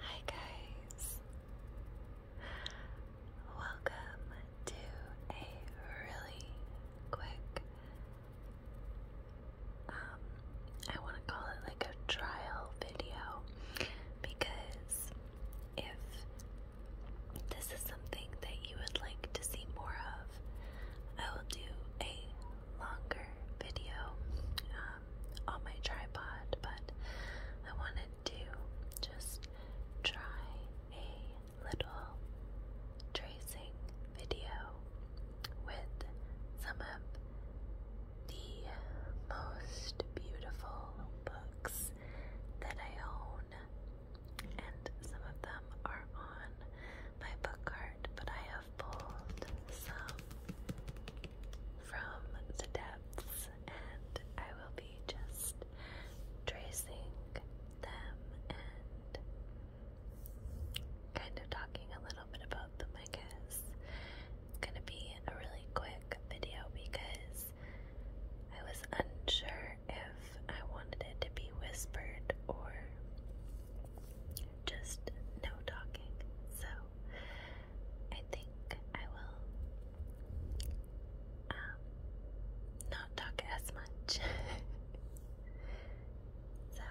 Hi guys. Welcome to a really quick um I want to call it like a trial video because if this is something that you would like to see more of, I will do a longer video um, on my tripod, but I wanted to just try a little tracing video with some of the most beautiful books that I own, and some of them are on my book cart, but I have have pulled some from the depths, and I will be just tracing them and kind of talking a little bit about them, I guess. It's gonna be a really quick video because I was unsure if I wanted it to be whispered or just no talking. So I think I will um, not talk as much. so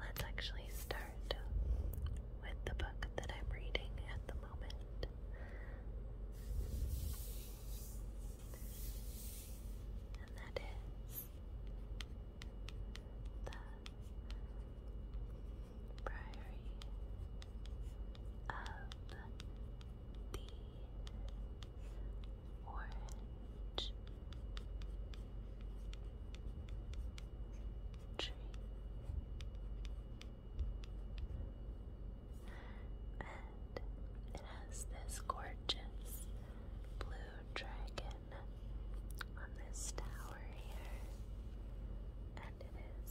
let's actually start with the book that I'm reading at the moment. And that is the Priory of the Orange Tree. And it has this gorgeous blue dragon on this tower here, and it is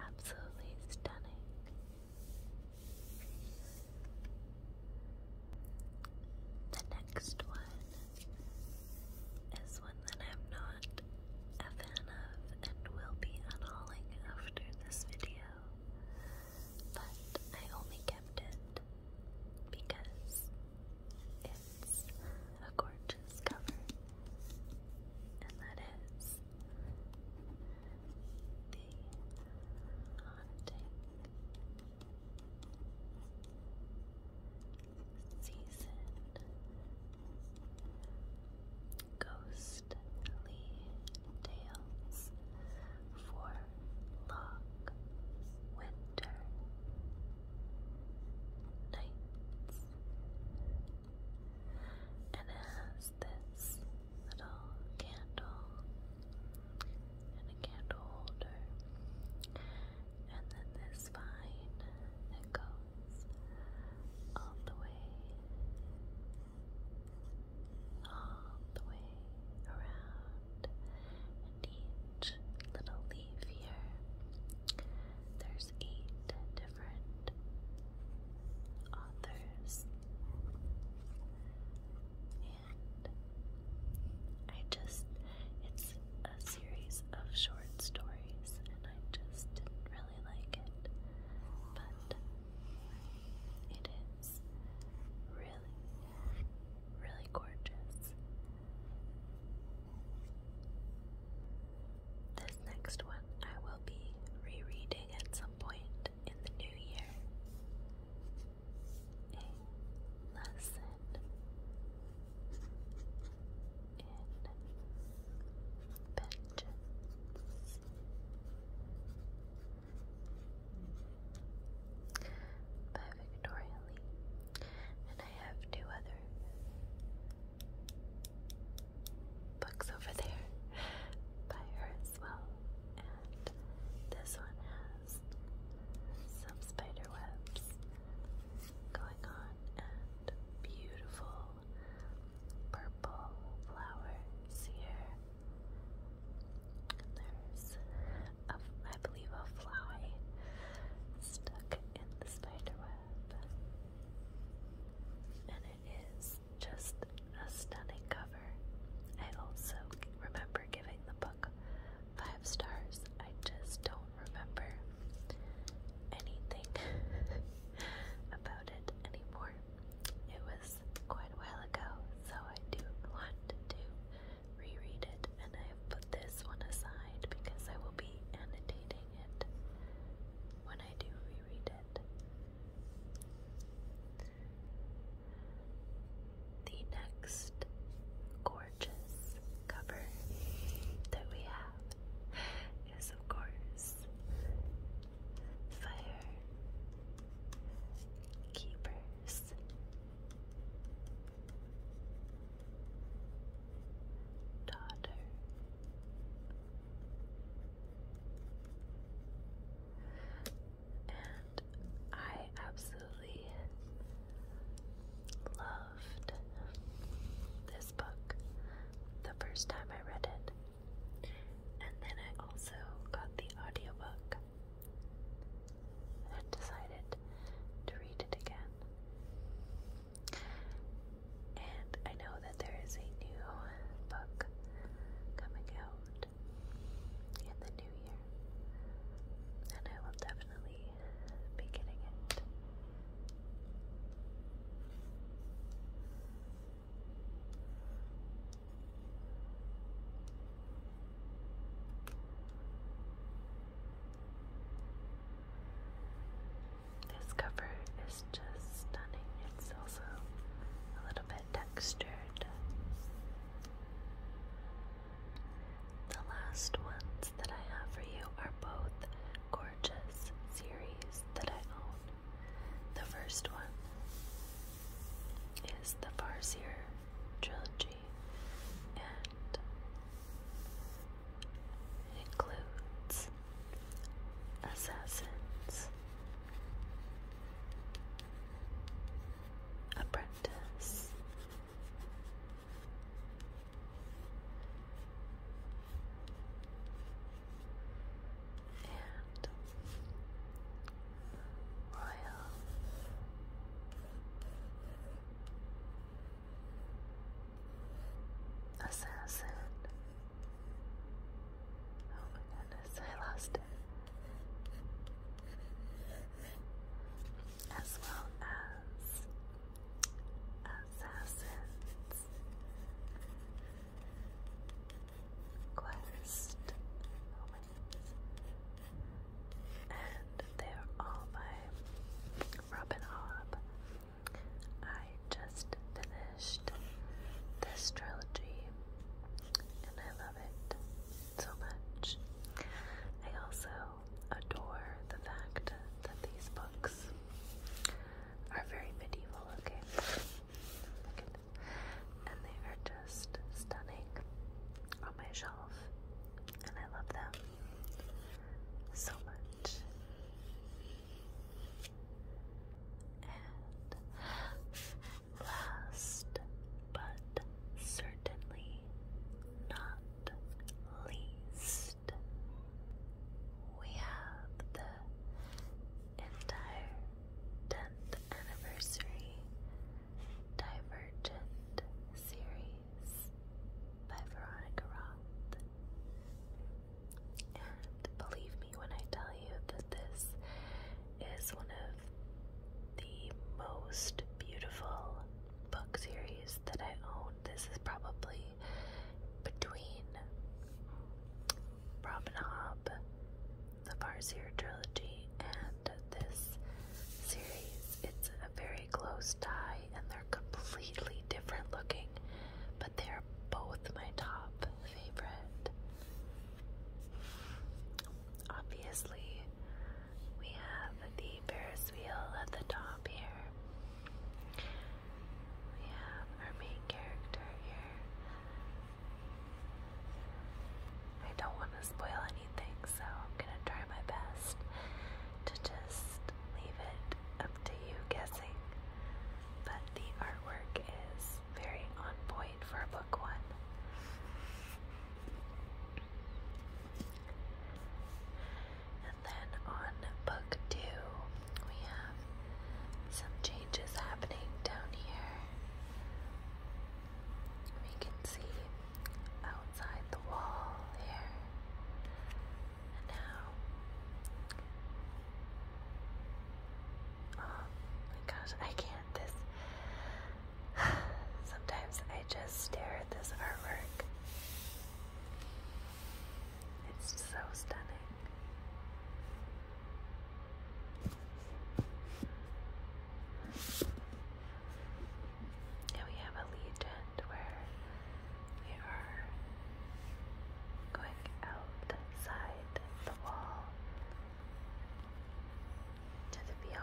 absolutely stunning. The next one is one that I'm not a fan of and will be unhauling after this video, but I only kept it because it's a gorgeous cover, and that is the haunting seasoned ghostly tales for long winter nights, and it this little candle and a candle holder, and then this vine that goes all the way, all the way around and each little leaf here. There's eight different authors. And I just, it's a series of short stories, and I just didn't really like it. But it is really really gorgeous. This next one I will be rereading at some point in the new year. A lesson in vengeance. By Victoria Lee, I have two other books over there by her as well. And this one has some spider going on and beautiful purple flowers here. there's I believe, a fly stuck in the spider web. And it is just a stunning cover. I also remember giving the book five stars. I just don't remember anything about it anymore. It was quite a while ago, so I do want to reread it, and I have put this one aside because I will be annotating it when I do reread it. The next gorgeous cover that we have is, of course, Fire Keepers daughter. And I absolutely loved this book the first time I read it. And then I also got the audiobook and then decided to read it again. And I know that there is a new book coming out in the new year, and I will definitely be getting it. This cover is just stunning. It's also a little bit textured. The last ones that I have for you are both gorgeous series that I own. The first one is the Farseer trilogy energy and includes assassins, apprentice, and royal. Assassin. Oh my goodness, I lost it. As well as Assassin's Quest. Oh my goodness and they're all by Robin Hobb. I just finished this trilogy and I love it so much. I also adore the fact that these books are very medieval looking. And they are just stunning on my shelf and I love them so much. And last but certainly not least, we have the entire 10th anniversary Divergent series. Days by Veronica And believe me when I tell you that this is one of the most beautiful book series that I own. This is probably between Robin Hobb, the Farseer trilogy, and this series. It's very close tie and they're completely different looking, but they're both my top favorite. Obviously, we have the Ferris wheel at the top here. We have our main character here. I don't want to spoil anything, so I'm going to try my best to just leave it up to you guessing. But the artwork is very on point for book one. And then on book two, we have some changes happening down here. We can see outside the wall here and oh my gosh, I can't. This sometimes I just stare at this artwork. It's so stunning. And we have a legend where we are going outside the wall to the beyond.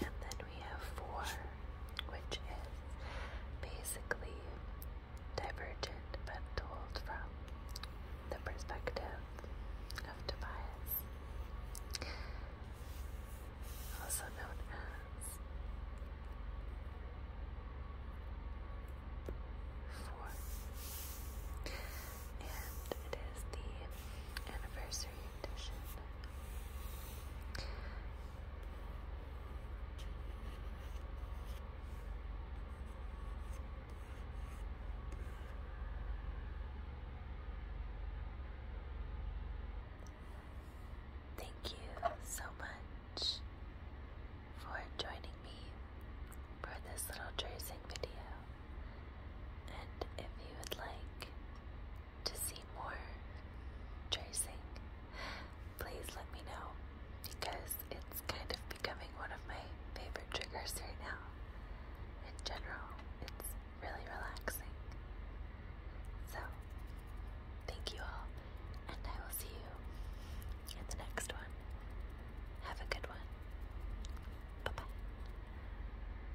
And then we have four, which is basically divergent but told from the perspective of Tobias, also known as four. And it is the anniversary Thank you so much for joining me for this little tracing video. And if you would like, to see more tracing, please let me know because it's kind of becoming one of my favorite triggers right now. In general, it's really relaxing. So, thank you all, and I will see you in the next one. Have a good one. Bye bye.